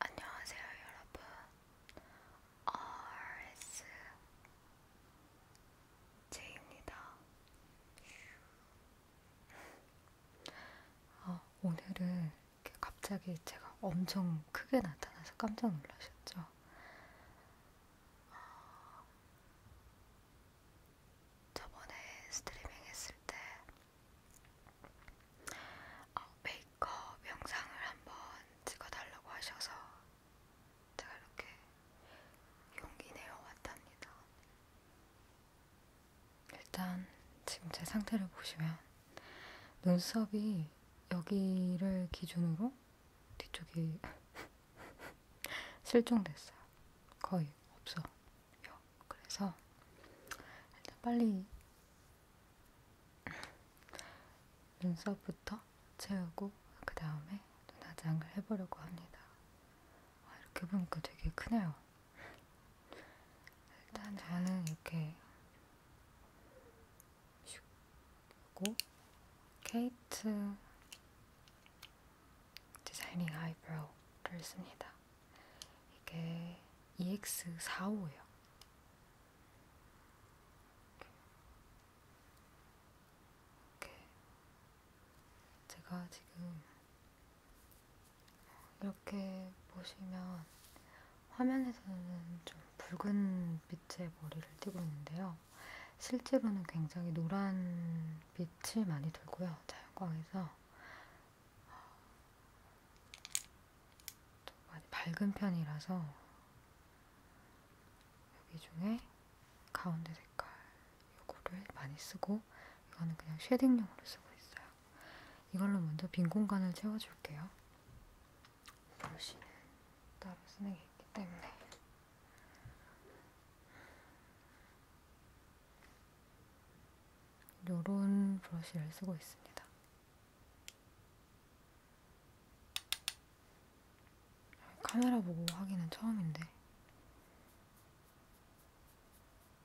안녕하세요, 여러분. RS 제입니다. 아, 오늘은 갑자기 제가 엄청 크게 나타나서 깜짝 놀라셨죠? 아, 저번에 스트리밍 했을 때 어, 메이크업 영상을 한번 찍어달라고 하셔서 제가 이렇게 용기 내어왔답니다. 일단 지금 제 상태를 보시면 눈썹이 여기를 기준으로 뒤쪽이 실종됐어요. 거의 없어. 요 그래서 일단 빨리 눈썹부터 채우고 그 다음에 눈화장을 해보려고 합니다. 와, 아, 이렇게 보니까 되게 크네요. 일단 저는 이렇게 슉고 케이트 디자이닝 아이브로우를 씁니다. 이게 EX45예요. 이렇게. 제가 지금 이렇게 보시면 화면에서는 좀 붉은 빛의 머리를 띄고 있는데요. 실제로는 굉장히 노란 빛이 많이 돌고요. 자연광에서 좀 많이 밝은 편이라서 여기 중에 가운데 색깔 요거를 많이 쓰고 이거는 그냥 쉐딩용으로 쓰고 있어요. 이걸로 먼저 빈 공간을 채워줄게요. 브러쉬는 따로 쓰는 게 있기 때문에 요런 브러쉬를 쓰고 있습니다. 카메라 보고 하기는 처음인데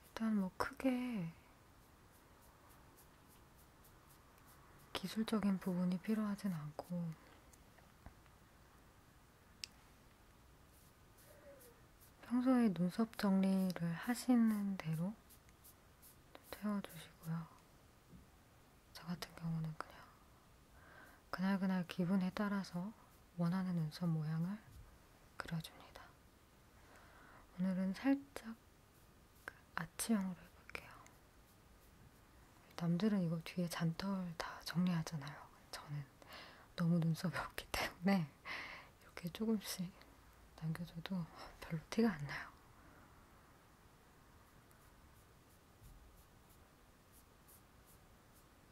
일단 뭐 크게 기술적인 부분이 필요하진 않고 평소에 눈썹 정리를 하시는 대로 태워주시고요. 저 같은 경우는 그냥 그날그날 기분에 따라서 원하는 눈썹 모양을 그려줍니다. 오늘은 살짝 그 아치형으로 해볼게요. 남들은 이거 뒤에 잔털 다 정리하잖아요. 저는 너무 눈썹이 없기 때문에 이렇게 조금씩 남겨줘도 별로 티가 안 나요.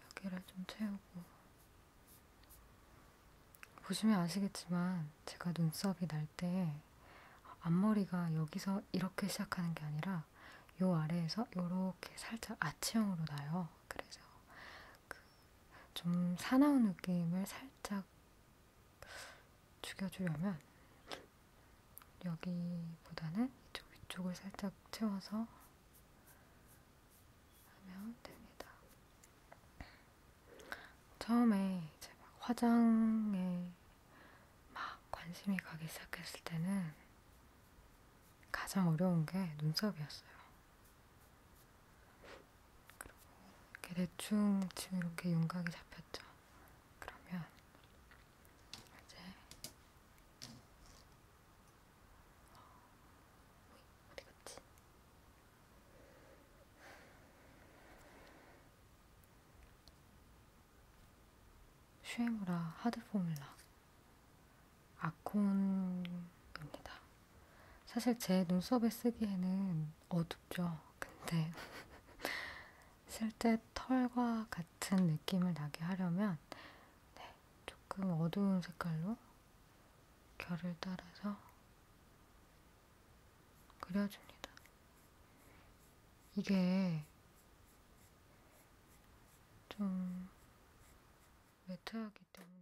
여기를 좀 채우고 보시면 아시겠지만 제가 눈썹이 날 때 앞머리가 여기서 이렇게 시작하는 게 아니라 요 아래에서 요렇게 살짝 아치형으로 나요. 그래서 그좀 사나운 느낌을 살짝 죽여주려면 여기보다는 이쪽 위쪽을 살짝 채워서 하면 됩니다. 처음에 이제 막 화장에 막 관심이 가기 시작했을 때는 가장 어려운 게 눈썹이었어요. 그리고 이렇게 대충 지금 이렇게 윤곽이 잡혔죠. 그러면 이제 어디 갔지? 슈에무라 하드 포뮬라 아콘입니다. 사실 제 눈썹에 쓰기에는 어둡죠. 근데 실제 털과 같은 느낌을 나게 하려면 네, 조금 어두운 색깔로 결을 따라서 그려줍니다. 이게 좀 매트하기 때문에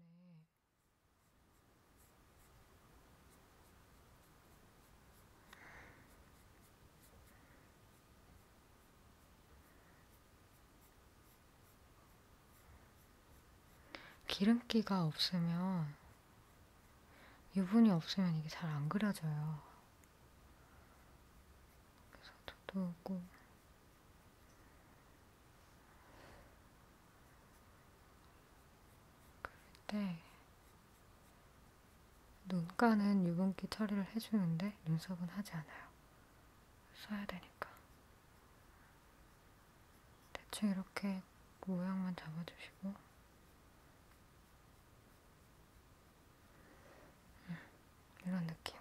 기름기가 없으면 유분이 없으면 이게 잘 안 그려져요. 그래서 두꺼우고 그때 네. 눈가는 유분기 처리를 해주는데 눈썹은 하지 않아요. 써야 되니까. 대충 이렇게 모양만 잡아주시고 음, 이런 느낌으로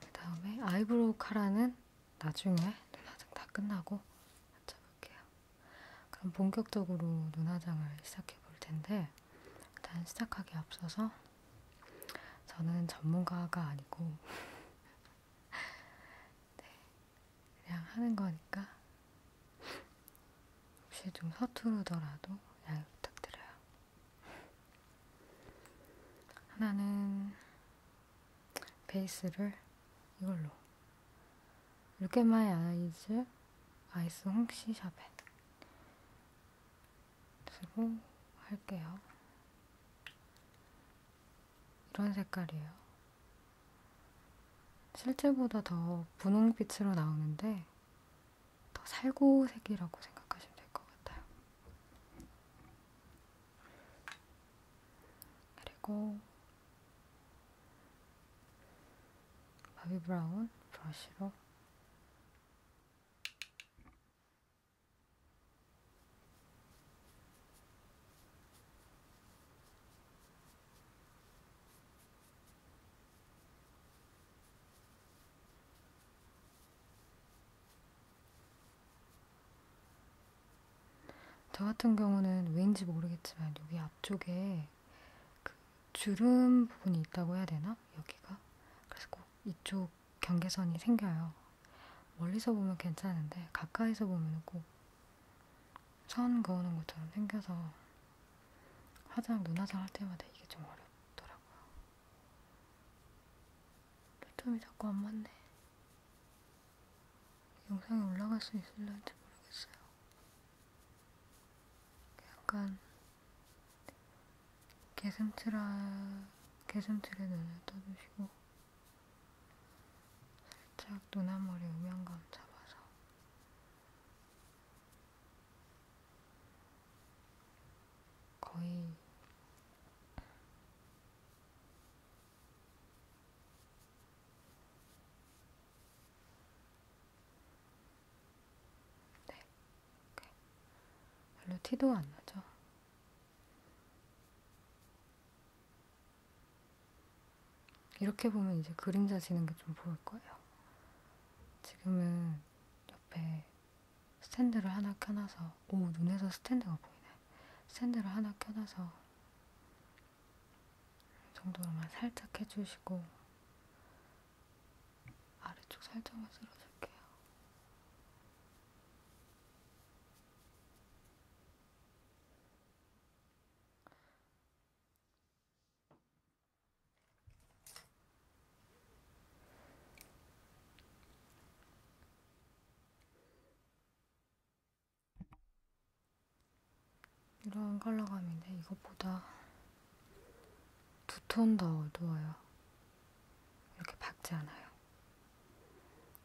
그 다음에 아이브로우 카라는 나중에 눈화장 다 끝나고 맞춰볼게요. 그럼 본격적으로 눈화장을 시작해 볼 텐데 일단 시작하기 앞서서 저는 전문가가 아니고 네, 그냥 하는 거니까 혹시 좀 서투르더라도 양해 부탁드려요. 하나는 베이스를 이걸로 루케마의 아이즈 아이스 홍시 샤벳 쓰고 할게요. 이런 색깔이에요. 실제보다 더 분홍빛으로 나오는데 더 살구색이라고 생각하시면 될 것 같아요. 그리고 바비 브라운 브러쉬로 저 같은 경우는 왠지 모르겠지만 여기 앞쪽에 그 주름 부분이 있다고 해야 되나? 여기가? 그래서 꼭 이쪽 경계선이 생겨요. 멀리서 보면 괜찮은데 가까이서 보면 꼭 선 그어놓은 것처럼 생겨서 화장, 눈화장 할 때마다 이게 좀 어렵더라고요. 초점이 자꾸 안 맞네. 영상에 올라갈 수 있을런지 모르겠어요. 약간 개슴틀아, 개슴틀에 눈을 떠주시고 살짝 눈앞머리 음영감 잡아서 거의 네, 오케이. 별로 티도 안 나죠? 이렇게 보면 이제 그림자 지는 게 좀 보일 거예요. 지금은 옆에 스탠드를 하나 켜놔서 오 눈에서 스탠드가 보이네 스탠드를 하나 켜놔서 이 정도로만 살짝 해주시고 아래쪽 살짝만 쓸어줄게요 이런 컬러감인데 이것보다 두 톤 더 어두워요. 이렇게 밝지 않아요.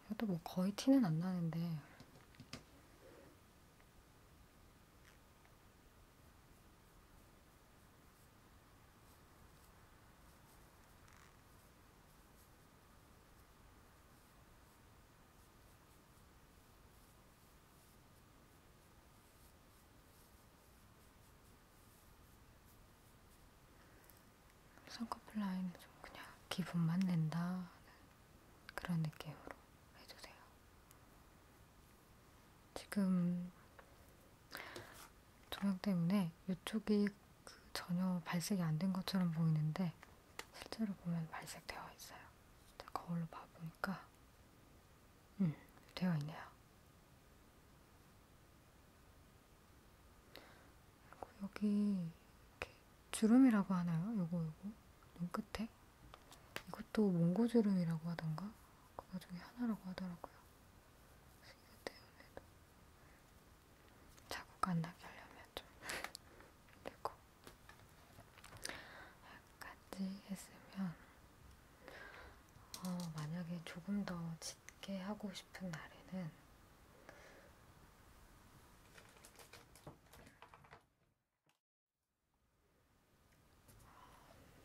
이것도 뭐 거의 티는 안 나는데 쌍꺼풀 라인을 좀 그냥 기분만 낸다 그런 느낌으로 해주세요. 지금 조명 때문에 이쪽이 그 전혀 발색이 안 된 것처럼 보이는데 실제로 보면 발색되어 있어요. 거울로 봐보니까 음, 되어 있네요. 그리고 여기 이렇게 주름이라고 하나요? 요거 요거 눈끝에 이것도 몽고주름이라고 하던가 그거 중에 하나라고 하더라고요. 것이기 때문에도 자국 안 나게 하려면 좀 힘들고 여기까지 했으면 어, 만약에 조금 더 짙게 하고 싶은 날에는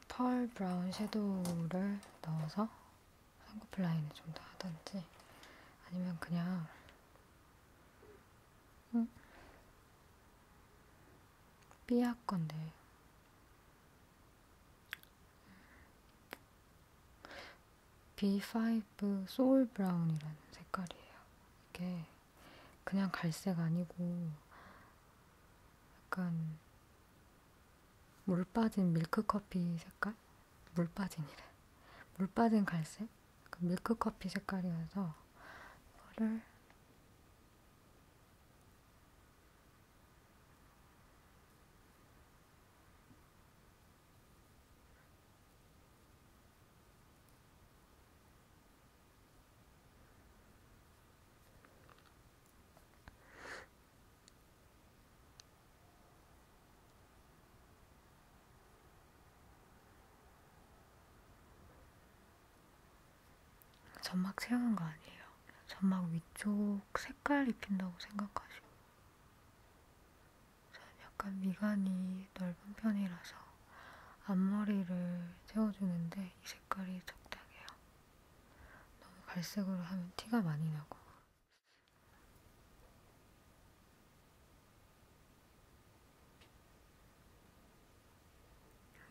펄 브라운 섀도우를 넣어서 쌍꺼풀 라인을 좀 더 하던지 아니면 그냥 음, 삐약 건데 B5 소울 브라운이라는 색깔이에요. 이게 그냥 갈색 아니고 약간 물 빠진 밀크커피 색깔? 물 빠진이래. 물 빠진 갈색? 그 밀크커피 색깔이어서 이거를 점막 채우는 거 아니에요. 점막 위쪽 색깔 입힌다고 생각하시고 저는 약간 미간이 넓은 편이라서 앞머리를 채워주는데 이 색깔이 적당해요. 너무 갈색으로 하면 티가 많이 나고.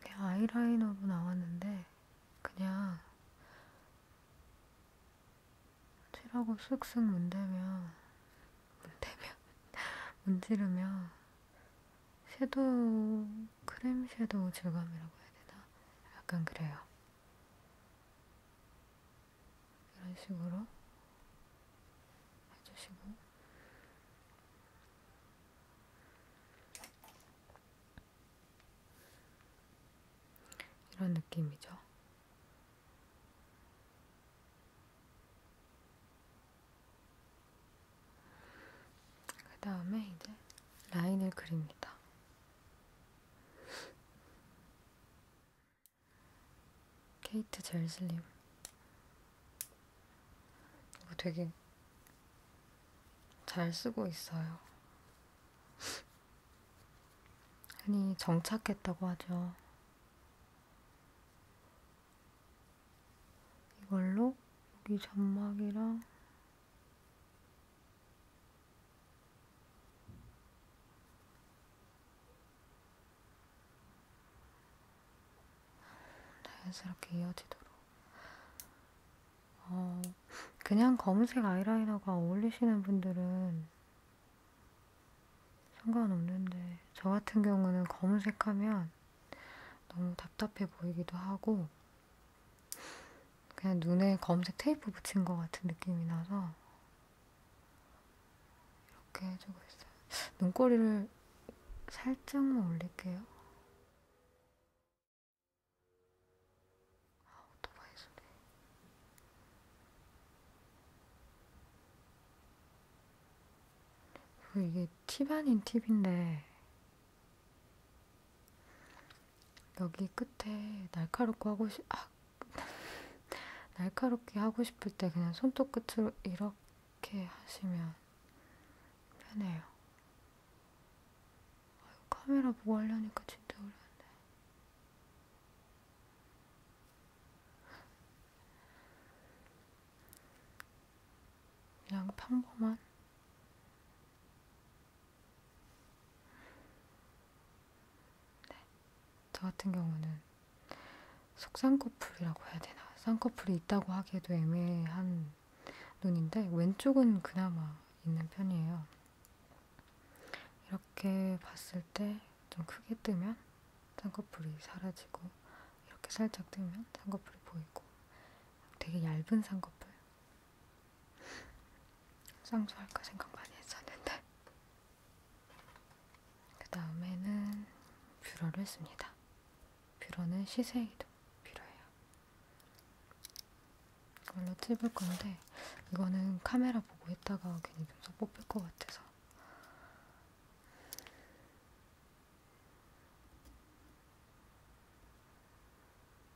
이게 아이라이너로 나왔는데, 그냥 칠하고 쓱쓱 문대면, 문대면, 문지르면, 섀도우, 크림 섀도우 질감이라고 해야 되나? 약간 그래요. 이런 식으로 해주시고, 이런 느낌이죠. 그 다음에 이제 라인을 그립니다. 케이트 젤 슬림 이거 되게 잘 쓰고 있어요 흔히 정착했다고 하죠 이걸로 여기 점막이랑 자연스럽게 이어지도록. 어, 그냥 검은색 아이라이너가 어울리시는 분들은 상관없는데, 저 같은 경우는 검은색 하면 너무 답답해 보이기도 하고, 그냥 눈에 검색 테이프 붙인 것 같은 느낌이 나서 이렇게 해주고 있어요. 눈꼬리를 살짝만 올릴게요. 아, 오토바이 소리. 그리고 이게 팁 아닌 팁인데 여기 끝에 날카롭고 하고 싶, 아, 날카롭게 하고 싶을 때 그냥 손톱 끝으로 이렇게 하시면 편해요. 아유, 카메라 보고 하려니까 진짜 어려운데. 그냥 평범한 네. 저 같은 경우는 속쌍꺼풀이라고 해야 되나? 쌍꺼풀이 있다고 하기에도 애매한 눈인데 왼쪽은 그나마 있는 편이에요. 이렇게 봤을 때 좀 크게 뜨면 쌍꺼풀이 사라지고 이렇게 살짝 뜨면 쌍꺼풀이 보이고 되게 얇은 쌍꺼풀 쌍수할까 생각 많이 했었는데 그 다음에는 뷰러를 했습니다. 뷰러는 시세이도 필요해요. 이걸로 찝을 건데 이거는 카메라 보고 했다가 괜히 눈썹 뽑힐 것 같아서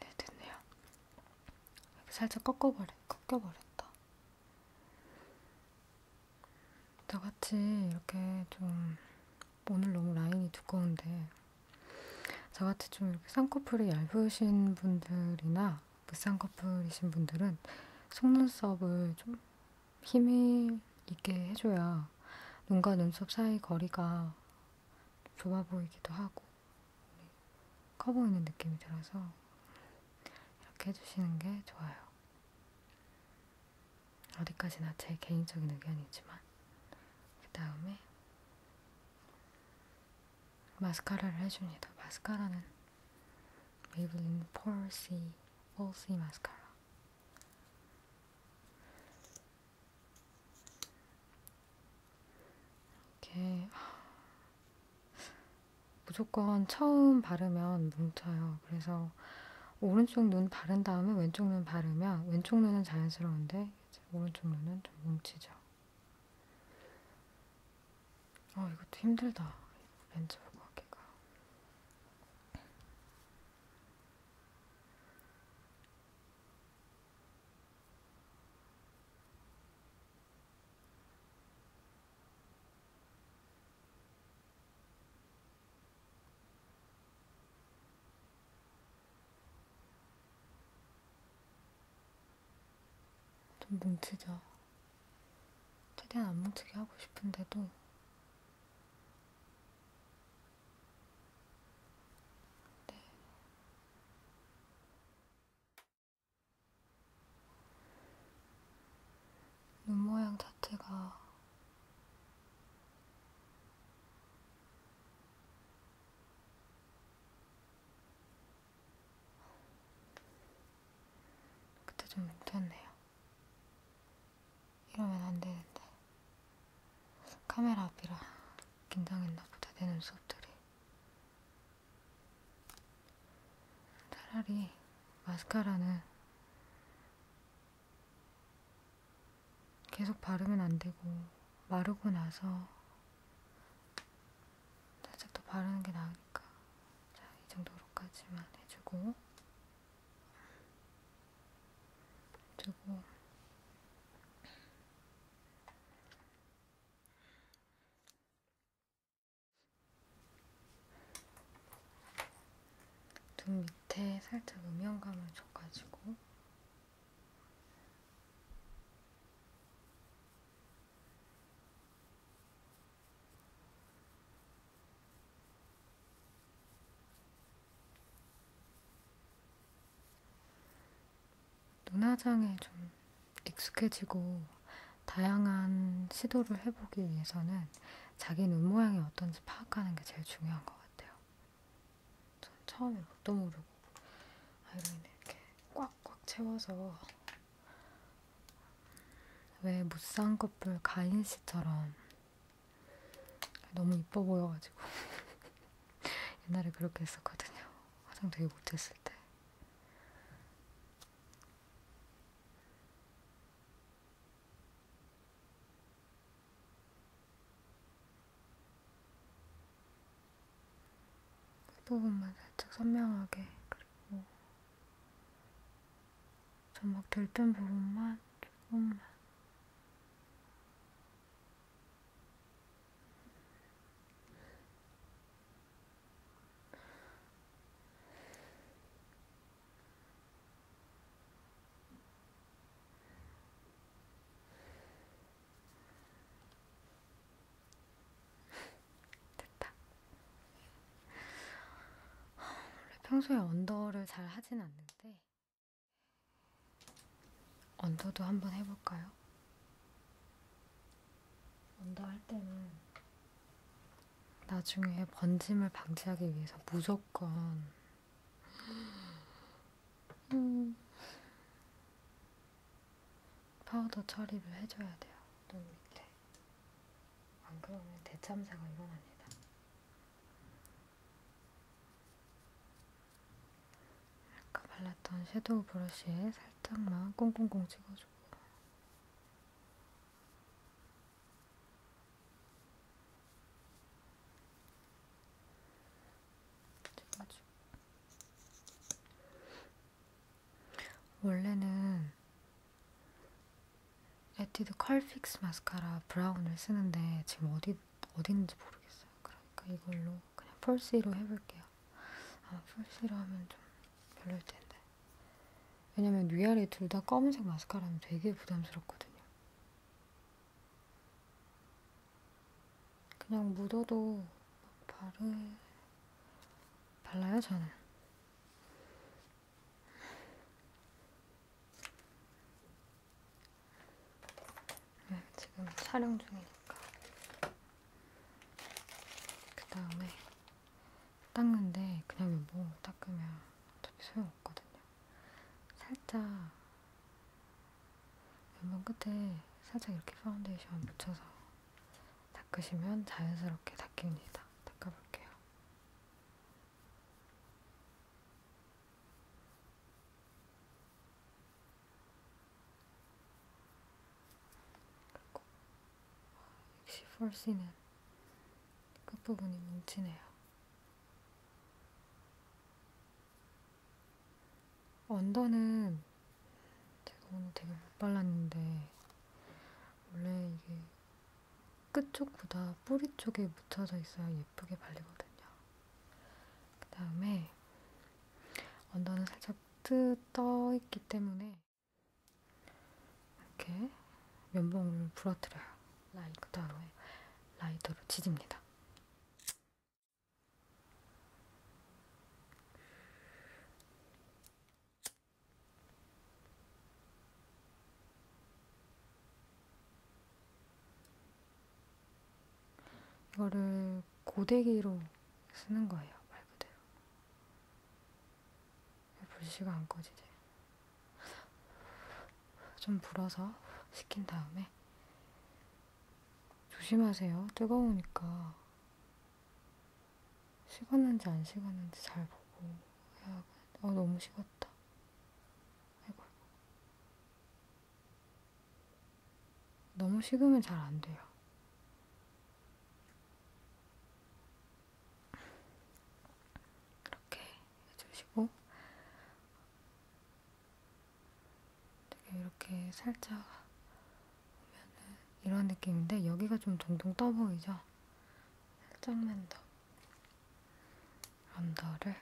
네, 됐네요. 이렇게 살짝 꺾어버려, 꺾여버렸다. 저같이 이렇게 좀 오늘 너무 라인이 두꺼운데 저같이 좀 이렇게 쌍꺼풀이 얇으신 분들이나 무쌍꺼풀이신 분들은 속눈썹을 좀 힘이 있게 해줘야 눈과 눈썹 사이 거리가 좁아 보이기도 하고 네, 커 보이는 느낌이 들어서 이렇게 해주시는 게 좋아요. 어디까지나 제 개인적인 의견이지만 그 다음에 마스카라를 해줍니다. 마스카라는 메이블린 폴시, 폴시 마스카라. 이렇게 무조건 처음 바르면 뭉쳐요. 그래서 오른쪽 눈 바른 다음에 왼쪽 눈 바르면 왼쪽 눈은 자연스러운데 오른쪽 눈은 좀 뭉치죠. 어, 이것도 힘들다. 렌즈 보고 하기가. 좀 뭉치죠. 최대한 안 뭉치게 하고 싶은데도 네. 눈 모양 자체가 그때 좀 뭉쳤네요. 이러면 안 되는데. 카메라 앞이라 긴장했나 보다, 내 눈썹들이. 차라리 마스카라는 계속 바르면 안 되고, 마르고 나서 살짝 더 바르는 게 나으니까 자, 이 정도로까지만 해주고 그리고 눈 밑에 살짝 음영감을 줘가지고 눈화장에 좀 익숙해지고 다양한 시도를 해보기 위해서는 자기 눈 모양이 어떤지 파악하는 게 제일 중요한 것 같아요. 전 처음에 뭣도 모르고 아이라인을 이렇게 꽉꽉 채워서 왜 무쌍 커플 가인 씨처럼 너무 이뻐 보여가지고 옛날에 그렇게 했었거든요. 화장 되게 못했을 때. 부분만 살짝 선명하게 그리고 점막 들뜬 부분만 조금만 됐다. 아, 원래 평소에 언더를 잘 하진 않는데 언더도 한번 해볼까요? 언더 할 때는 나중에 번짐을 방지하기 위해서 무조건 음. 파우더 처리를 해줘야 돼요. 눈 밑에. 안 그러면 대참사가 일어납니다. 아까 발랐던 섀도우 브러쉬에 살짝만 꽁꽁꽁 찍어주고 원래는 에뛰드 컬픽스 마스카라 브라운을 쓰는데 지금 어디 어디 있는지 모르겠어요. 그러니까 이걸로 그냥 펄시로 해볼게요. 아마 펄시로 하면 좀 별로일 텐데. 왜냐면 위아래 둘 다 검은색 마스카라면 되게 부담스럽거든요. 그냥 묻어도 막 바르 달라요, 저는. 네, 지금 촬영 중이니까. 그 다음에 닦는데 그냥 뭐 닦으면 어차피 소용없거든요. 살짝 면봉 끝에 살짝 이렇게 파운데이션 묻혀서 닦으시면 자연스럽게 닦입니다. 닦아볼게요. 그리고 역시 폴씨는 끝부분이 뭉치네요. 언더는 제가 오늘 되게 못 발랐는데 원래 이게 끝쪽보다 뿌리 쪽에 묻혀져 있어야 예쁘게 발리거든요. 그 다음에 언더는 살짝 뜨 떠 있기 때문에 이렇게 면봉을 부러뜨려요. 라이 그 다음에 라이터로 지집니다. 이거를 고데기로 쓰는 거예요, 말 그대로. 불씨가 안 꺼지지? 좀 불어서 식힌 다음에 조심하세요. 뜨거우니까. 식었는지 안 식었는지 잘 보고 해야 어, 너무 식었다. 아이고. 너무 식으면 잘 안 돼요. 이렇게 해주시고 되게 이렇게 살짝 이런 느낌인데 여기가 좀 동동 떠 보이죠? 살짝만 더 언더를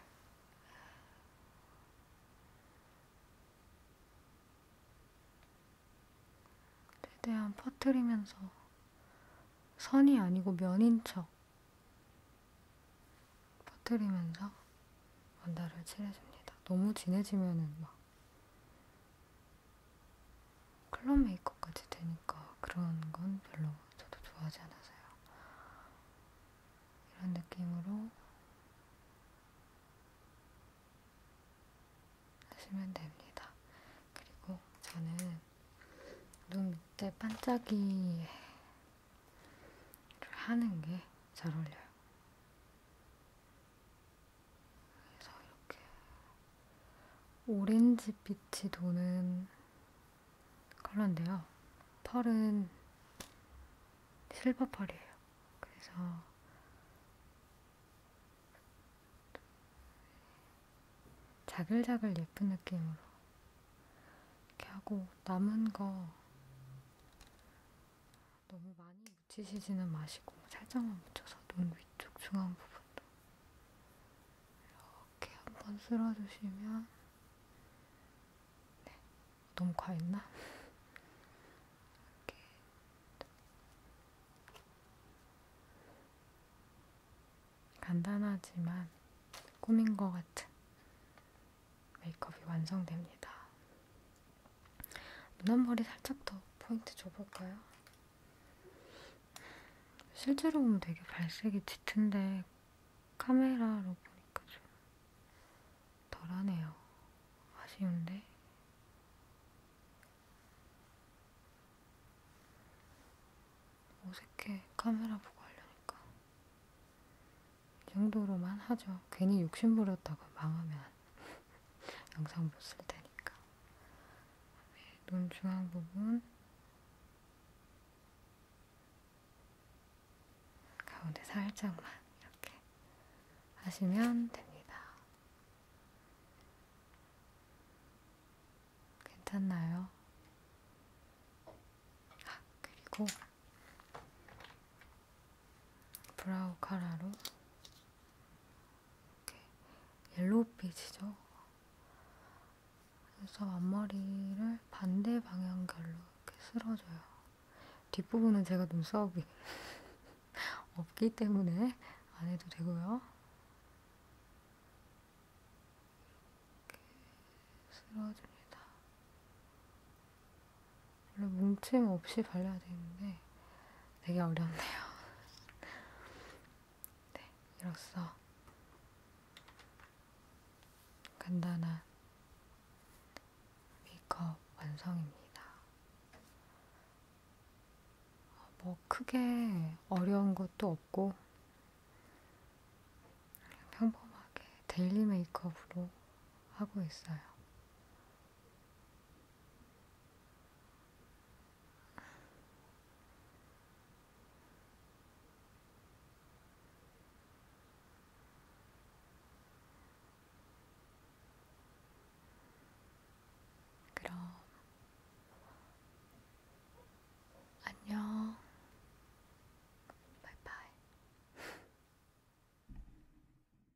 최대한 퍼트리면서 선이 아니고 면인 척 퍼트리면서 언더를 칠해줍니다. 너무 진해지면은 막 클럽 메이크업까지 되니까 그런 건 별로 저도 좋아하지 않아서요. 이런 느낌으로 하시면 됩니다. 그리고 저는 눈 밑에 반짝이를 하는 게 잘 어울려요. 그래서 이렇게 오렌지빛이 도는 컬러인데요. 펄은 실버 펄이에요. 그래서 자글자글 예쁜 느낌으로 이렇게 하고 남은 거 너무 많이 묻히시지는 마시고 살짝만 묻혀서 눈 위쪽 중앙 부분도 이렇게 한번 쓸어주시면 네. 너무 과했나? 이렇게 간단하지만 꾸민 것 같은 메이크업이 완성됩니다. 눈앞머리 살짝 더 포인트 줘볼까요? 실제로 보면 되게 발색이 짙은데 카메라로 보니까 좀 덜하네요. 아쉬운데? 어색해, 카메라 보고 하려니까. 이 정도로만 하죠. 괜히 욕심 부렸다가 망하면 영상 못 쓸 테니까. 네, 눈 중앙 부분 가운데 살짝만 이렇게 하시면 됩니다. 괜찮나요? 아, 그리고 브라우 카라로 이렇게 옐로우빛이죠. 그래서 앞머리를 반대 방향별로 이렇게 쓸어줘요. 뒷부분은 제가 눈썹이 없기 때문에 안 해도 되고요. 이렇게 쓸어줍니다. 원래 뭉침 없이 발려야 되는데 되게 어렵네요. 네, 이로써 간단한 메이크업 완성입니다. 뭐 크게 어려운 것도 없고 평범하게 데일리 메이크업으로 하고 있어요. 그럼 안녕. 바이바이.